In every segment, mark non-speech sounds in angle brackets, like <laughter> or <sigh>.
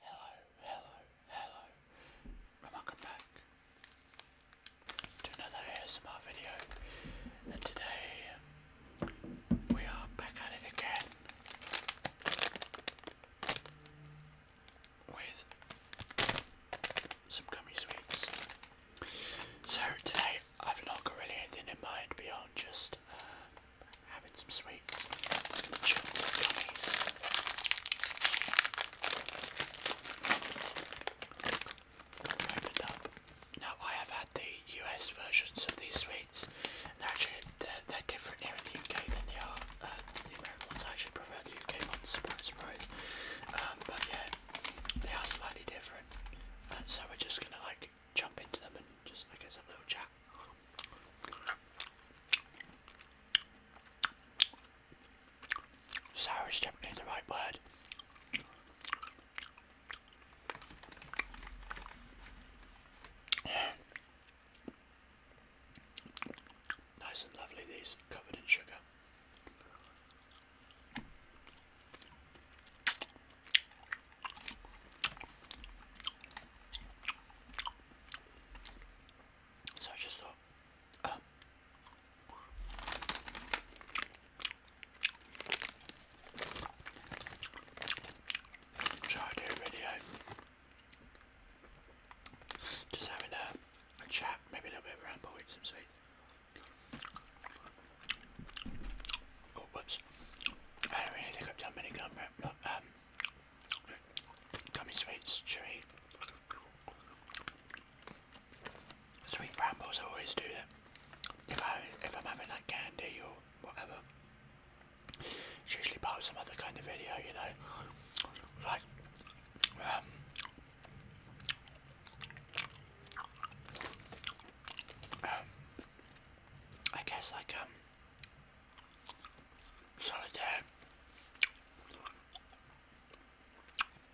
Hello, hello, hello, welcome back to another ASMR video. And today we are back at it again with some gummy sweets. So today I've not got really anything in mind beyond just uh, having some sweets. Just gonna chew some gummies. Now I have had the US versions of these sweets, and actually they're, they're different here in the UK than they are uh, the American ones. I actually prefer the UK ones. Surprise, surprise. Um, but yeah, they are slightly different. Uh, so we're just gonna like jump into them and just like guess have a little chat. Sour is in the right word. nice and lovely, these covered in sugar. So I just thought, try um, do a video, just having a, chat, maybe a little bit of ramble, some sweets. Oh, whoops. I don't really think I've done many gum not, um, Gummy sweets, chewy. Sweet rambles, I always do that. If I if I'm having like candy or whatever, it's usually part some other kind of video, you know, like um, um I guess like um, Solidaire,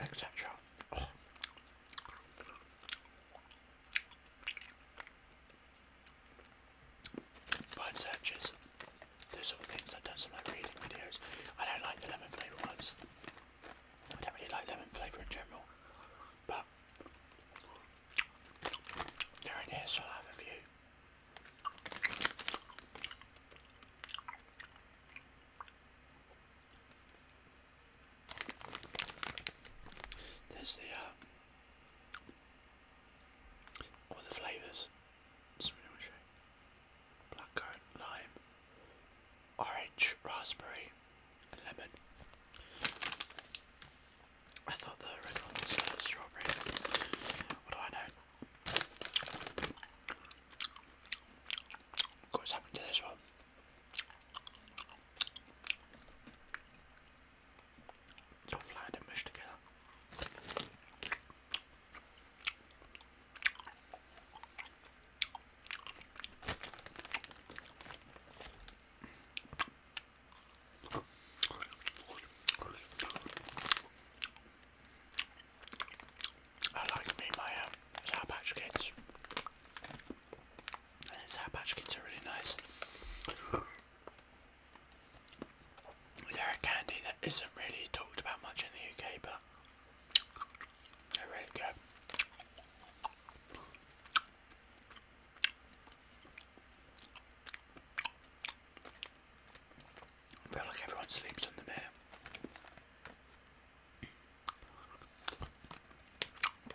etc. Oh. Word searches, things. I've done like reading videos. I don't like the lemon flavour ones. I don't really like lemon flavour in general, but during this, I'll have a few. There's the um, all the flavours. Blackcurrant, lime, orange, raspberry, and lemon. I thought the red one was strawberry. What do I know? what's happened to this one. It's all flat and mushed together. I like me my um, Sour Patch Kids. Sour Patch Kids are really nice. They're a candy that isn't really talked about much in the UK, but they're really good. I feel like everyone sleeps on them here.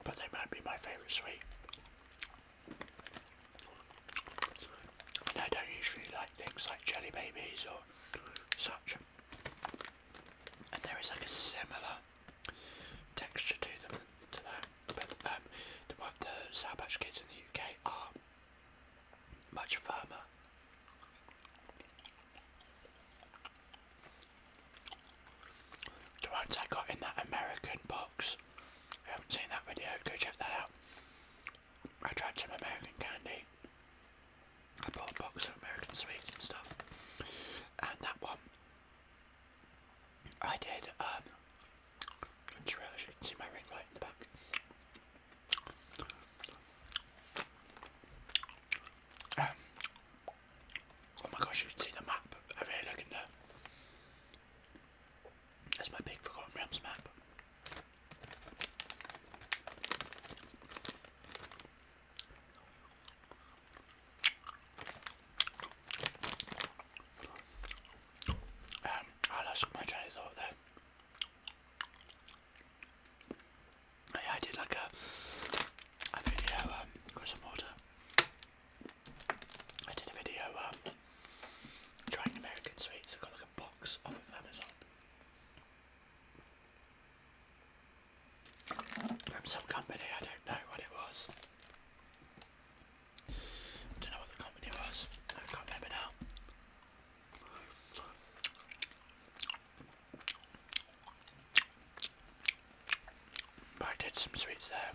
But they might be my favourite sweet. I don't usually like things like jelly babies or such. And there is like a similar texture to them to that. But um, the the Sour Patch Kids in the UK are much firmer. The ones I got in that American box. If you haven't seen that video, go check that out. I tried some American candy. I bought a box of American sweets and stuff. And that one I did. Um, um, oh my gosh, you can see the map. I really look in there. my big Forgotten Realms map. Um, oh, oh, I did like a, video, um, some water. I did a video, um, trying American sweets. I got like a box off of Amazon from some company, I don't know what it was. don't know what the company was, I can't remember now. But I did some sweets there.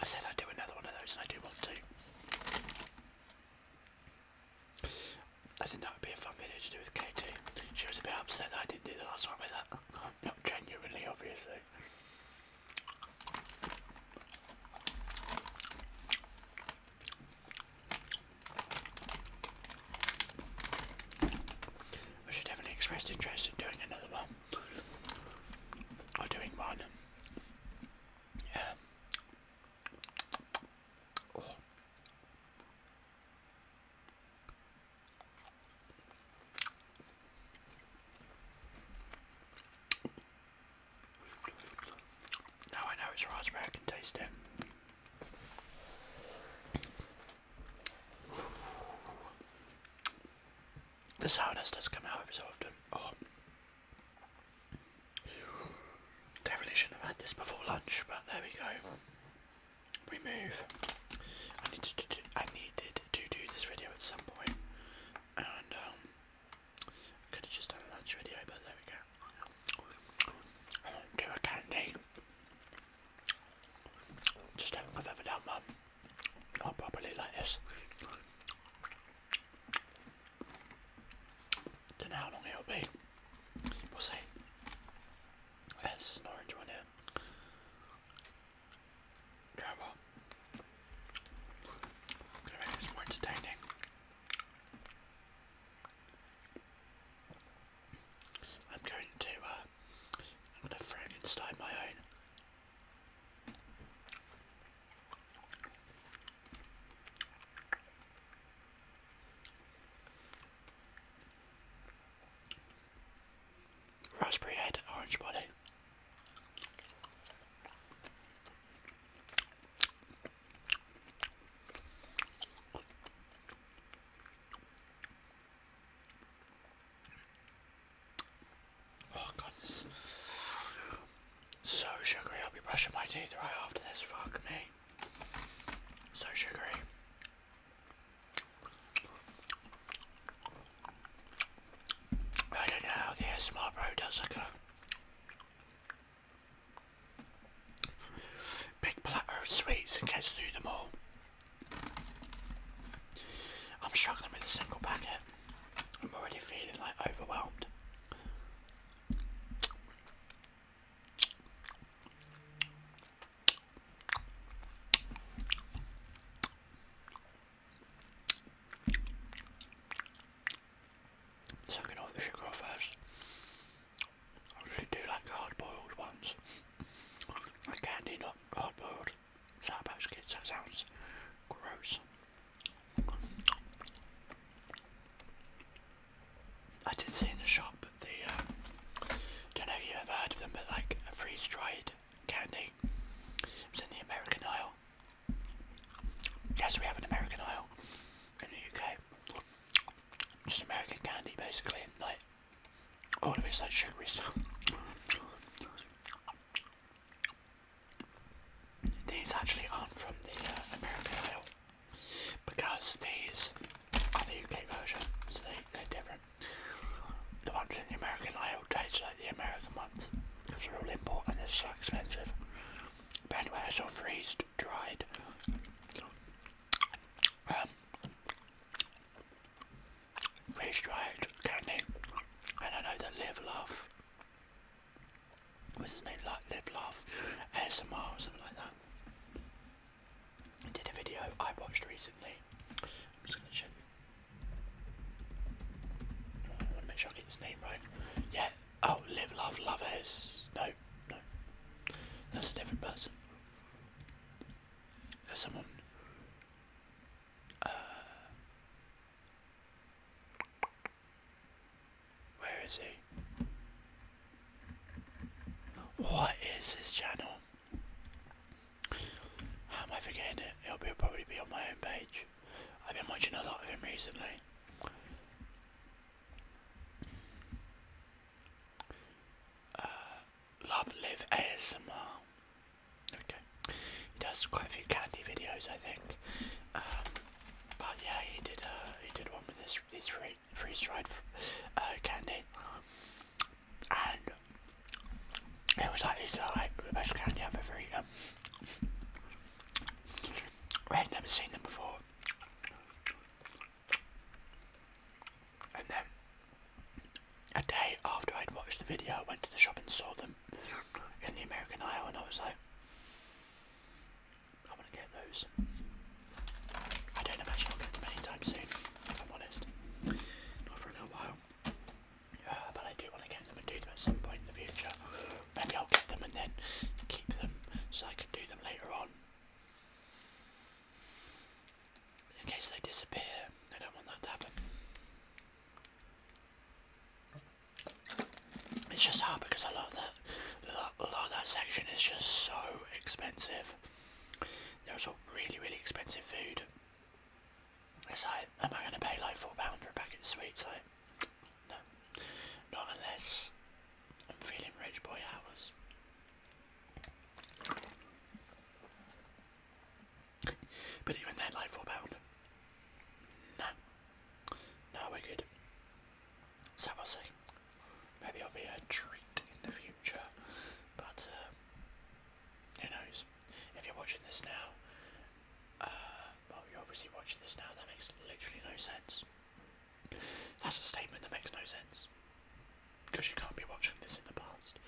I said I'd do another one of those and I do want to. I think that would be a fun video to do with KT. She was a bit upset that I didn't do the last one with her. Not genuinely, obviously. I should definitely express interest in doing another one. Or doing one. Yeah. Oh. Now I know it's raspberry, I can taste it. The sourness doesn't come out every so often. Oh. They shouldn't have had this before lunch, but there we go we move. I need to do, needed to do this video at some point, and um, I could have just done a lunch video, but there we go. do a candy. Just don't I've ever done one. Not properly like this. Don't know how long it'll be. We'll see. That's an orange one here. Grab up. it's more entertaining. I'm going to, uh, I'm going to Frankenstein my own. Raspberry head, orange body. Oh god, this so sugary. I'll be brushing my teeth right after this. Fuck me. So sugary. I don't know the ASMR bro does like a big platter of sweets and gets through them all. I'm struggling with a single packet. I'm already feeling like overwhelmed. So I'm the sugar first. I'll do like hard boiled ones. I candy not hard boiled. Sour patch kids, sounds gross. I did see in the shop the, um, don't know if you ever heard of them, but like a freeze dried candy. It was in the American aisle. Yes, we have an American aisle in the UK. Just American candy basically, and like, all of it's like sugary stuff. These actually aren't from the uh, American aisle because these are the UK version, so they, they're different. The ones in the American aisle taste like the American ones because they're all imported and they're so expensive. But anyway, I saw freeze dried. Um, freeze dried candy, and I know that Live Love What's his name? Like Live Love S M R or something like that. I did a video I watched recently. I'm just gonna check. I wanna make sure I get his name right. Yeah. Oh, Live Love Lovers. No, no. That's a different person. There's someone. Uh, where is he? What is this channel? am I forgetting it? It'll, probably be on my own page. I've been watching a lot of him recently. Uh, Love Live ASMR. Okay. He does quite a few candy videos, I think. Um, but yeah, he did. Uh, he did one with this these free freeze dried uh, candy, and it was like it's uh, like the candy I've never seen them before, and then a day after I'd watched the video, I went to the shop and saw them in the American aisle, and I was like. I want to get those. I don't imagine I'll get them anytime soon, if I'm honest. Not for a little while. Uh, but I do want to get them and do them at some point in the future. Maybe I'll get them and then keep them so I can do them later on. In case they disappear, I don't want that to happen. It's just hard because I love that, a lot that section It's just so expensive. There's all really, really expensive food. It's like, am I going to pay like four pound for a packet of sweets? Like, no, not unless I'm feeling rich boy hours. But even then, like four pound, no. No, we're good. So we'll see. Maybe it'll be a treat in the future, but uh, who knows? If you're watching this now, uh, well, you're obviously watching this now, that makes literally no sense. That's a statement that makes no sense. Because you can't be watching this in the past.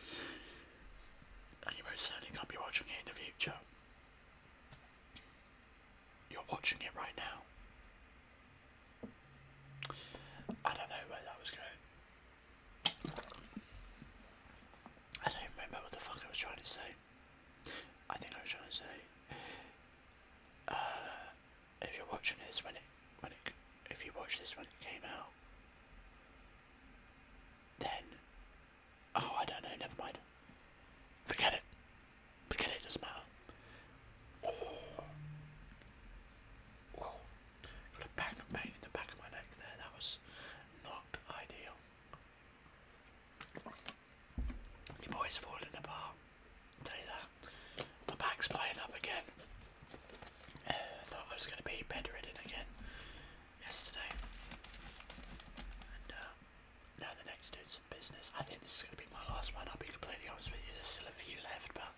And you most certainly can't be watching it in the future. You're watching it right now. I don't know where that was going. I don't remember what the fuck I was trying to say. I think I was trying to say, uh, if you're watching this when it, when it, if you watch this when it came out, then Oh, I don't know, never mind. Forget it. Forget it, it doesn't matter. Oh. Oh. Got a bang of pain in the back of my neck there, that was not ideal. The boy's falling apart. I'll tell you that. My back's playing up again. <sighs> I uh, thought I was going to be bedridden again yesterday. And, uh, now the next doing some business. I think this is going to be my last one. I'll be completely honest with you. There's still a few left, but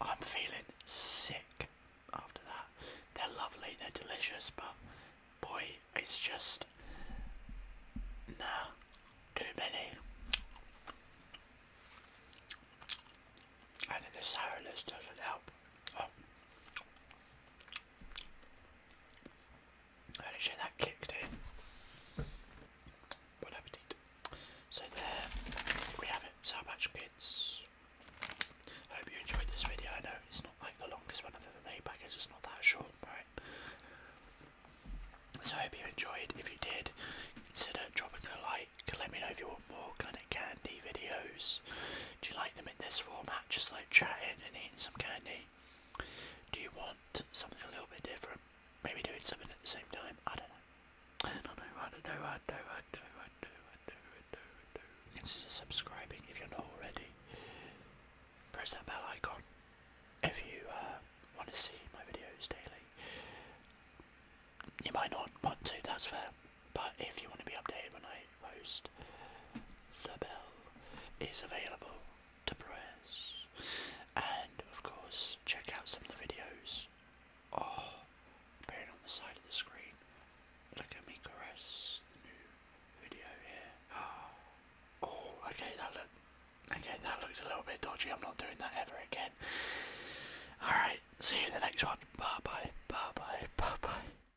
I'm feeling sick after that. They're lovely. They're delicious, but boy, it's just nah, too many. I think the sourness doesn't help. Oh. I'd sure that kicked in. Bon So there we have it, Sour Patch Kids. hope you enjoyed this video. I know it's not like the longest one I've ever made because it's not that short, right? So I hope you enjoyed. If you did, consider dropping a like. Let me know if you want more kind of candy videos. Do you like them in this format? Just like chatting and eating some candy do you want something a little bit different? Maybe doing something at the same time? I don't know. I don't know, I don't know, I don't know, I don't know, I don't know, I don't know, Consider subscribing if you're not already. Press that bell icon if you uh, want to see my videos daily. You might not want to, that's fair. But if you want to be updated when I most. The bell is available to press. And of course, check out some of the videos. Oh, appearing on the side of the screen. Look at me caress the new video here. <gasps> Oh, okay, that look. Okay, that looks a little bit dodgy. I'm not doing that ever again. Alright, see you in the next one. Bye bye, bye bye, bye bye.